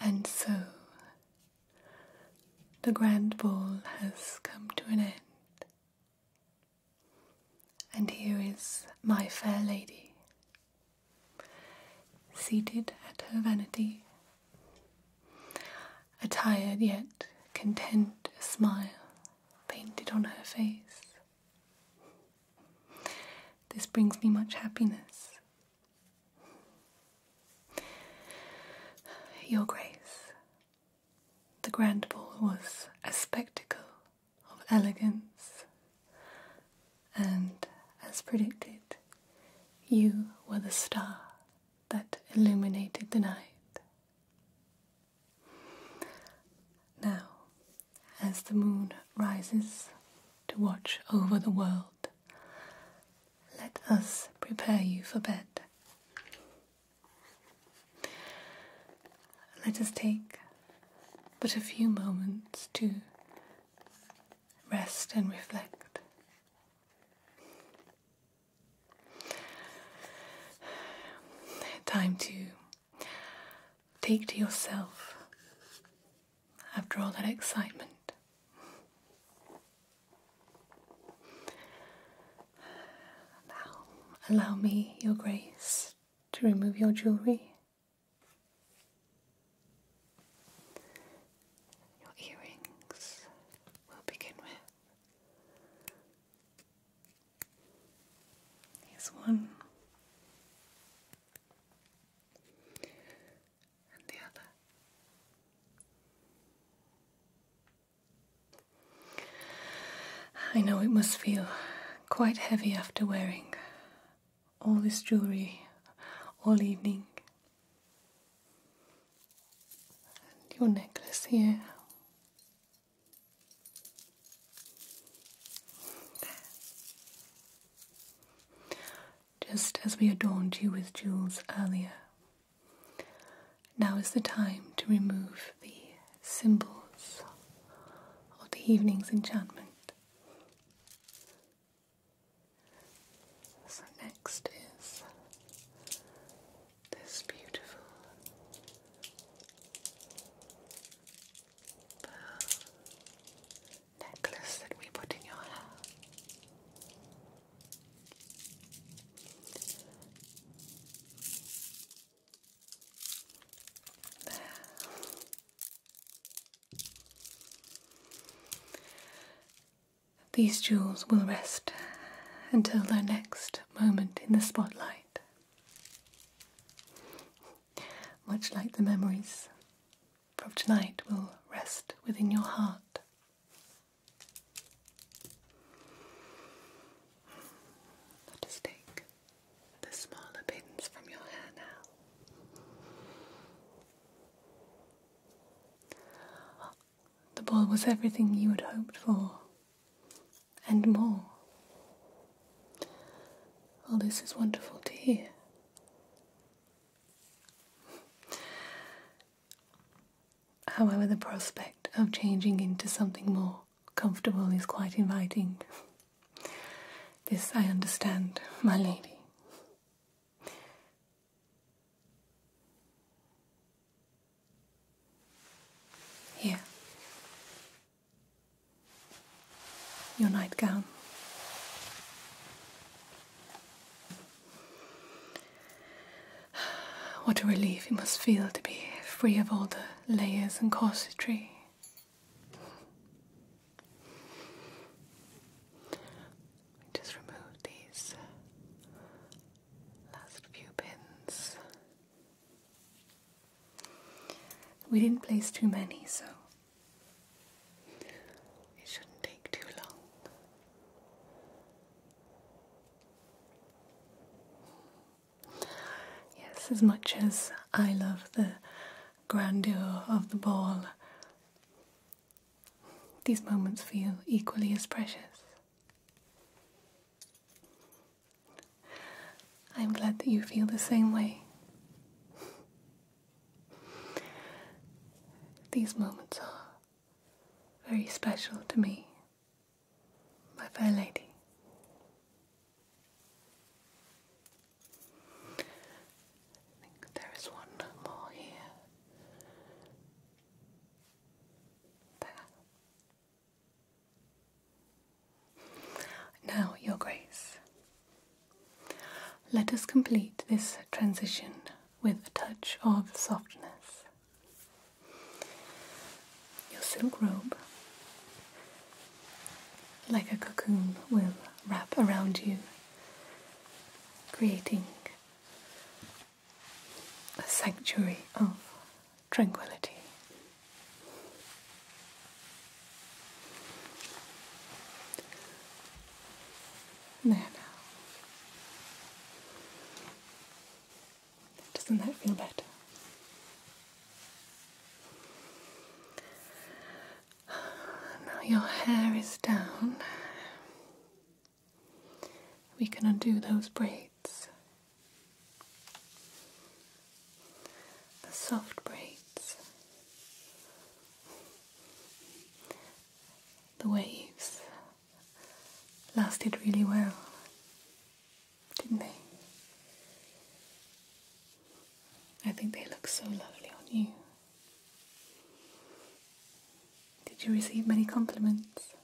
And so the grand ball has come to an end. And here is my fair lady, seated at her vanity, a tired yet content smile painted on her face. This brings me much happiness your Grace, the grand ball was a spectacle of elegance, and as predicted, you were the star that illuminated the night. Now, as the moon rises to watch over the world. Let us prepare you for bed. Let us take but a few moments to rest and reflect. Time to take to yourself after all that excitement. Now, allow me, Your Grace, to remove your jewellery, your earrings, we'll begin with. Here's one and the other. I know it must feel quite heavy after wearing all this jewellery all evening. And your necklace here. There just as we adorned you with jewels earlier. Now is the time to remove the symbols of the evening's enchantment. So, next is this beautiful pearl necklace that we put in your hair. There. These jewels will rest until their next moment in the spotlight, much like the memories from tonight will rest within your heart. Let us take the smaller pins from your hair now. The ball was everything you had hoped for, and more. Well, oh, this is wonderful to hear. However, the prospect of changing into something more comfortable is quite inviting. This I understand, my lady. Here, your nightgown. What a relief it must feel to be free of all the layers and corsetry. Just remove these last few pins. We didn't place too many, so it shouldn't take too long. Yes, as much as I love the grandeur of the ball, these moments feel equally as precious. I'm glad that you feel the same way. These moments are very special to me, my fair lady. there is one more here. There. Now, Your Grace, let us complete this transition with a touch of softness. Your silk robe, like a cocoon, will wrap around you, creating a sanctuary of tranquility there Doesn't that feel better? Now your hair is down. We can undo those braids the soft braids, the waves lasted really well, didn't they? I think they look so lovely on you. Did you receive many compliments?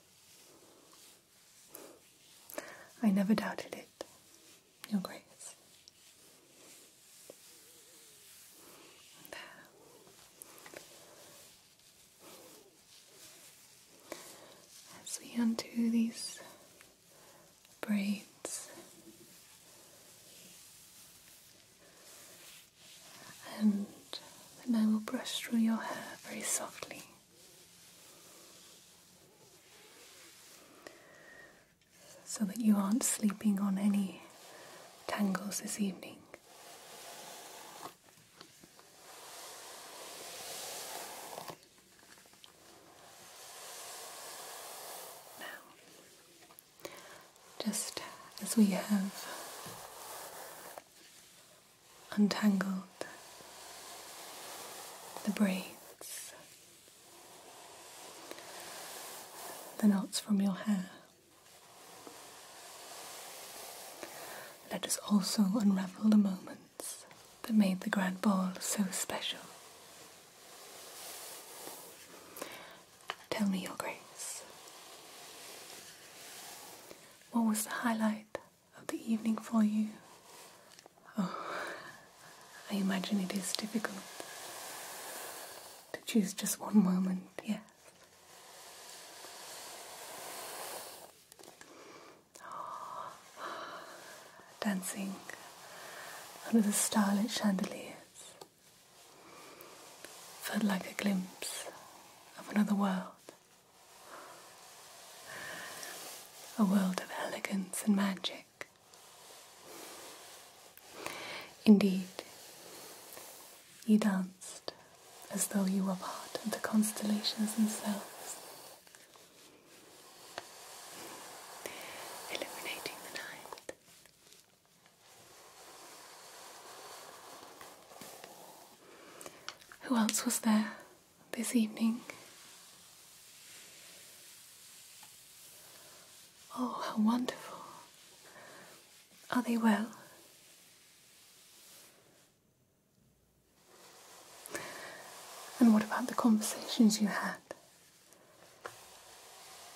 I never doubted it your grace. There. As we undo these braids and then I will brush through your hair very softly so that you aren't sleeping on any tangles this evening. Now, just as we have untangled the braids the knots from your hair. Let us also unravel the moments that made the grand ball so special. Tell me your grace. What was the highlight of the evening for you Oh, I imagine it is difficult to choose just one moment, yes. dancing under the starlit chandeliers felt like a glimpse of another world. A world of elegance and magic. Indeed, you danced as though you were part of the constellations themselves, illuminating the night. Who else was there this evening? Oh, how wonderful. Are they well? And what about the conversations you had?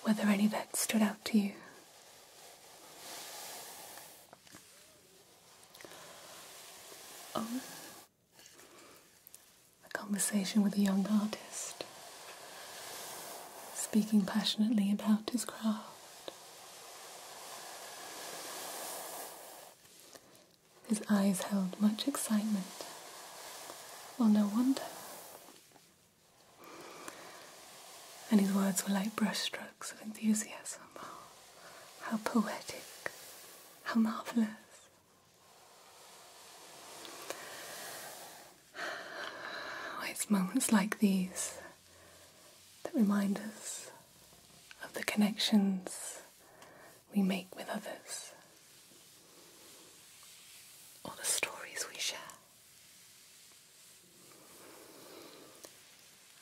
Were there any that stood out to you? Oh, a conversation with a young artist, speaking passionately about his craft. His eyes held much excitement. Well, no wonder. And his words were like brushstrokes of enthusiasm. how poetic, how marvellous. it's moments like these that remind us of the connections we make with others or the stories we share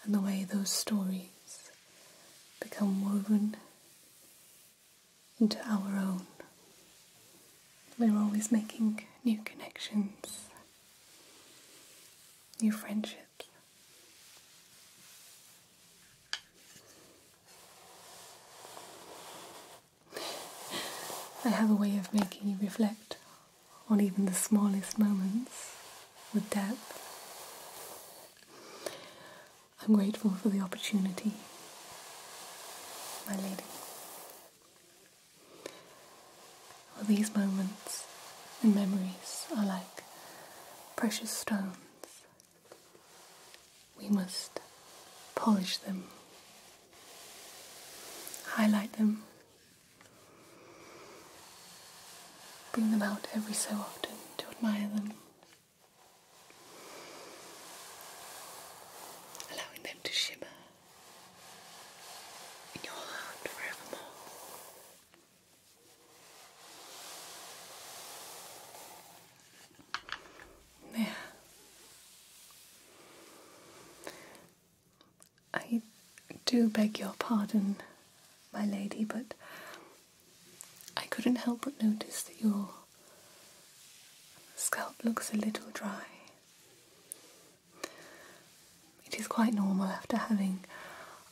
and the way those stories become woven into our own. We're always making new connections, new friendships. I have a way of making you reflect on even the smallest moments with depth. I'm grateful for the opportunity, my lady. Well, these moments and memories are like precious stones. We must polish them, highlight them, bring them out every so often to admire them allowing them to shimmer in your heart forevermore. There. I do beg your pardon, my lady, but I couldn't help but notice that your scalp looks a little dry. It is quite normal after having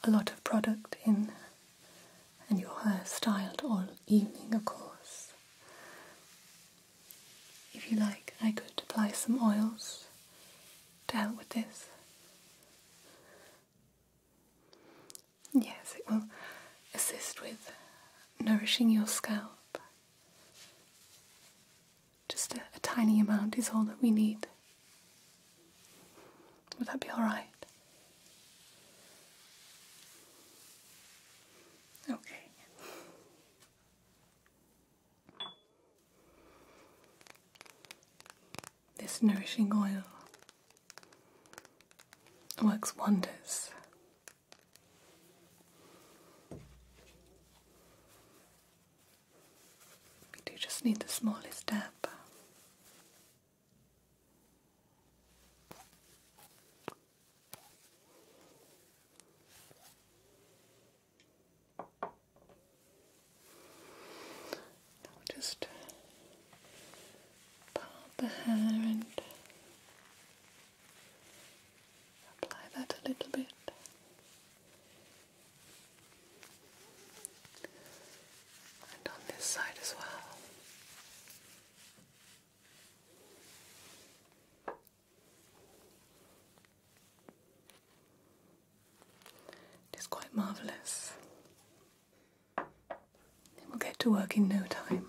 a lot of product in and your hair styled all evening, of course. If you like, I could apply some oils to help with this. Yes, it will assist with nourishing your scalp. Just a, tiny amount is all that we need. Would that be alright? Okay. This nourishing oil works wonders. We do just need the smallest dab. just part the hair and apply that a little bit. And on this side as well. It is quite marvellous we'll get to work in no time.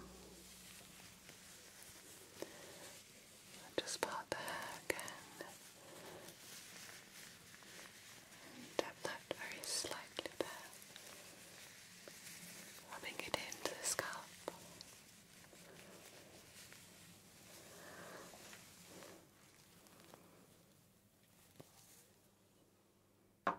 just part the hair again. And that very slightly there. Rubbing it into the scalp. Just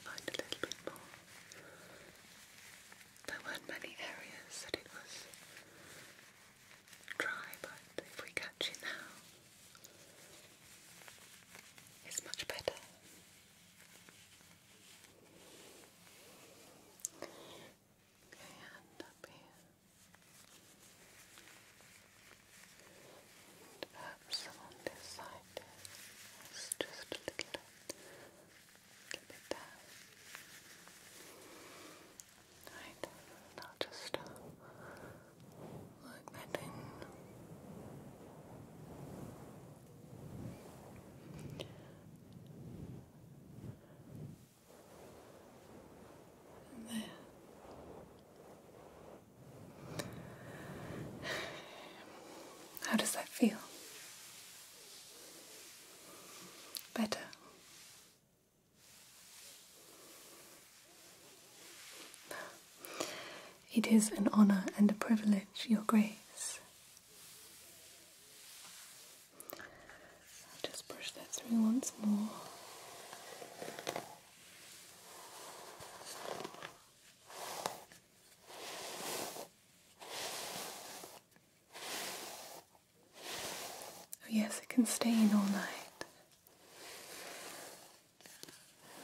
find a little bit more. There weren't many areas that it was dry, but if we catch it now, it's much better. Okay, hand up here. And perhaps along this side just a little, little bit there. Right, i just uh, that in. How does that feel? Better. It is an honor and a privilege, Your Grace. I'll just brush that through once more. Oh yes, it can stay in all night.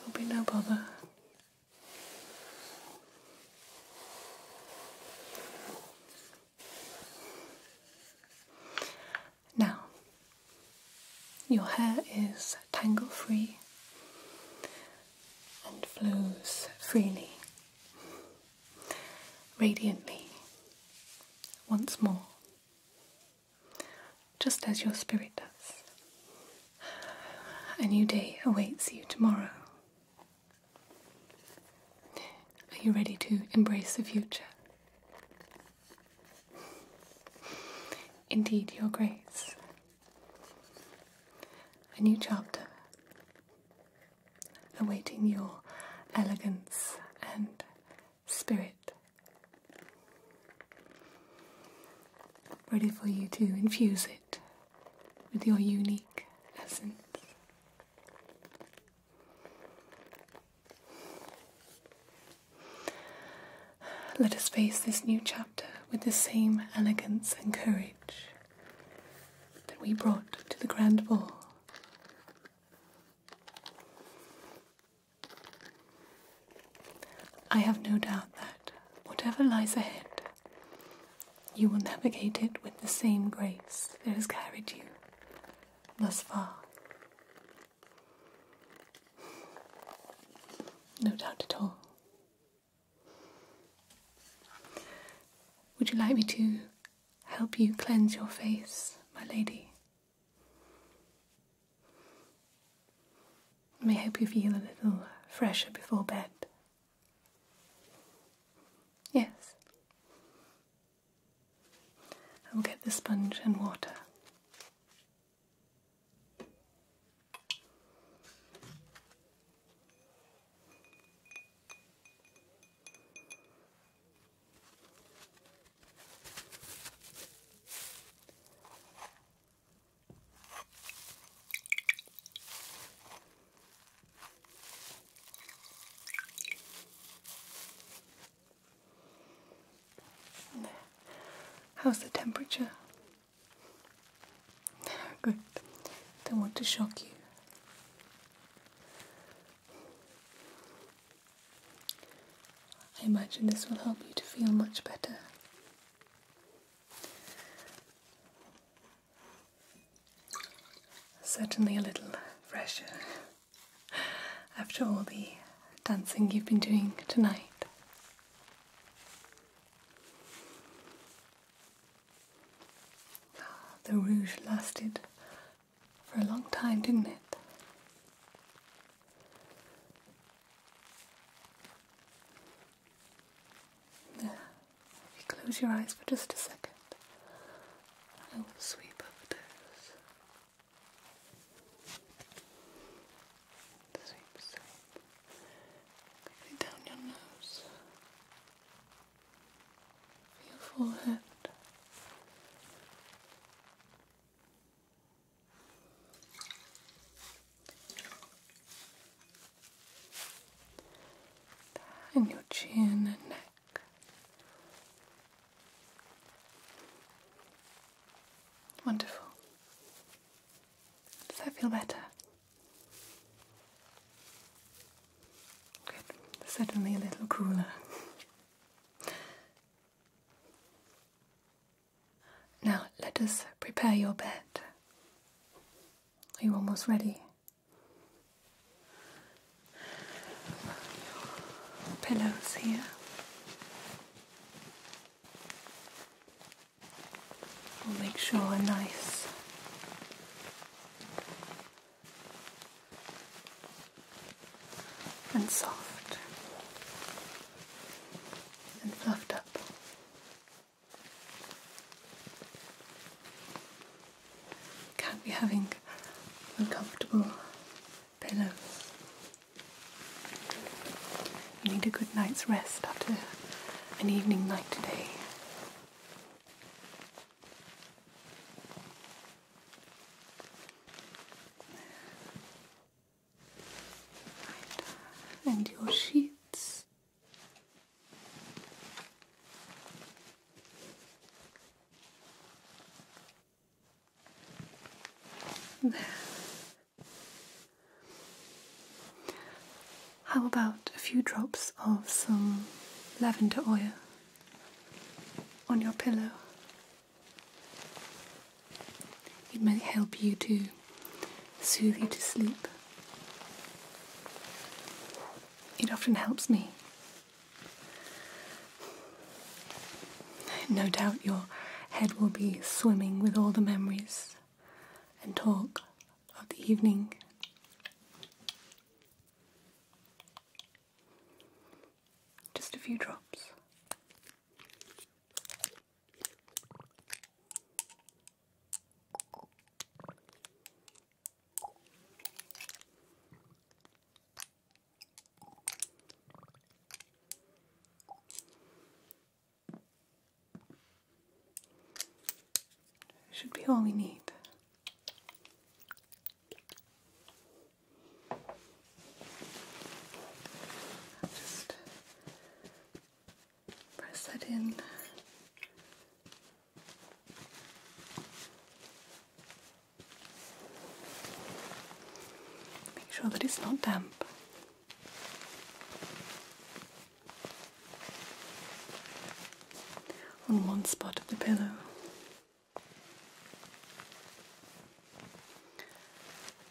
There'll be no bother. Now, your hair is tangle free and flows freely, radiantly, once more, just as your spirit does. A new day awaits you tomorrow. Are you ready to embrace the future? Indeed, Your Grace. A new chapter awaiting your elegance and spirit. Ready for you to infuse it with your unique essence. Let us face this new chapter with the same elegance and courage that we brought to the grand ball. I have no doubt that, whatever lies ahead, you will navigate it with the same grace that has carried you thus far. No doubt at all. Would you like me to help you cleanse your face, my lady? may help you feel a little fresher before bed. Yes. I will get the sponge and water. How's the temperature? Good. Don't want to shock you. I imagine this will help you to feel much better. Certainly a little fresher after all the dancing you've been doing tonight. Ah, the rouge lasted for a long time, didn't it? Yeah, if you close your eyes for just a second, I will sweep over those. Sweep, sweep. down your nose. Your forehead. And your chin and neck. Wonderful. Does that feel better? Good. Certainly a little cooler. now let us prepare your bed. Are you almost ready? your pillows here. We'll make sure are nice and soft and fluffed up. Can't be having uncomfortable pillows. You need a good night's rest after an evening night today. And your sheets how about a few drops of some lavender oil on your pillow? It may help you to soothe you to sleep. It often helps me. No doubt your head will be swimming with all the memories and talk of the evening. Just a few drops. Should be all we need. Just press that in Make sure that it's not damp. On one spot of the pillow.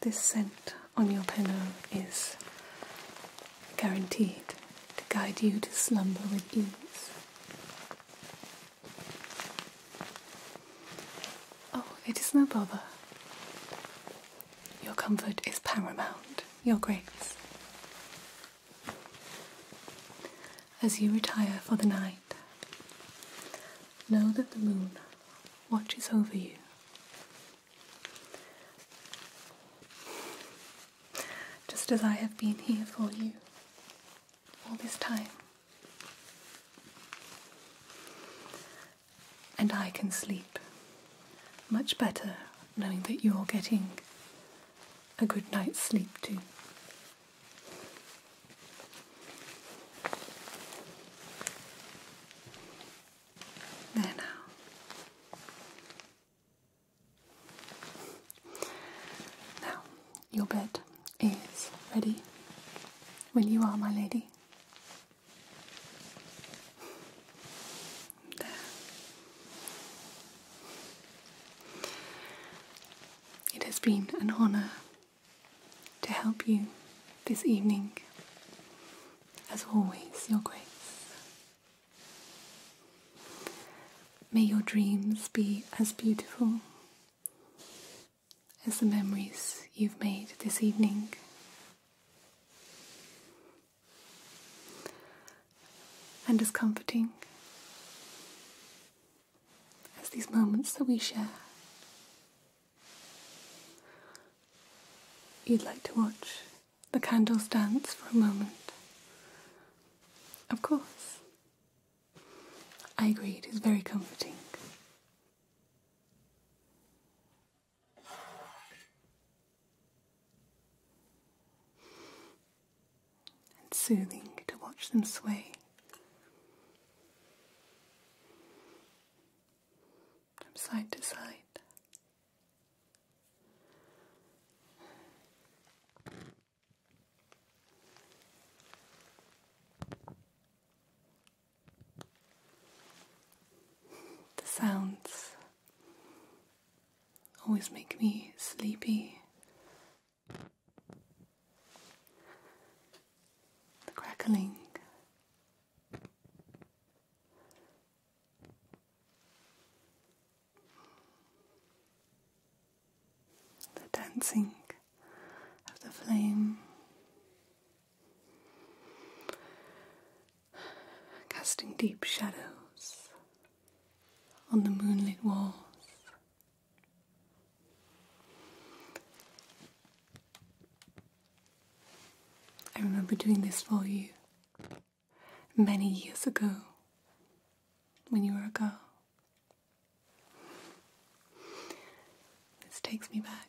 This scent on your pillow is guaranteed to guide you to slumber with ease. Oh, it is no bother. Your comfort is paramount, your grace. As you retire for the night, know that the moon watches over you just as I have been here for you all this time. And I can sleep much better knowing that you're getting a good night's sleep too. There now. Now, your bed is ready when you are, my lady. There. It has been an honour to help you this evening. As always, Your Grace. May your dreams be as beautiful as the memories you've made this evening. And as comforting as these moments that we share. You'd like to watch the candles dance for a moment. Of course. I agree, it is very comforting. And soothing to watch them sway. From side to side, the sounds always make me sleepy. The crackling the dancing of the flame, casting deep shadows on the moonlit walls. I remember doing this for you many years ago when you were a girl. This takes me back.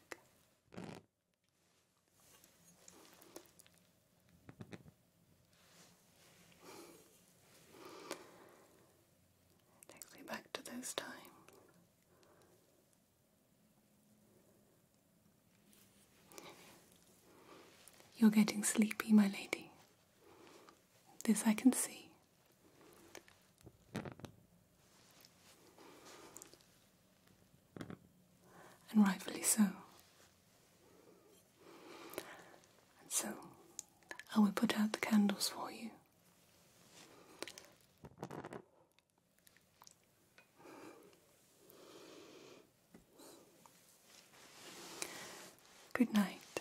takes me back to those times you're getting sleepy, my lady. This I can see. And rightfully so. And so, I will put out the candles for you. Good night,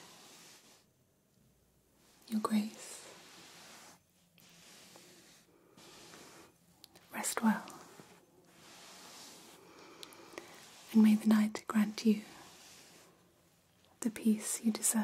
Your Grace. Rest well, and may the night grant you the peace you deserve.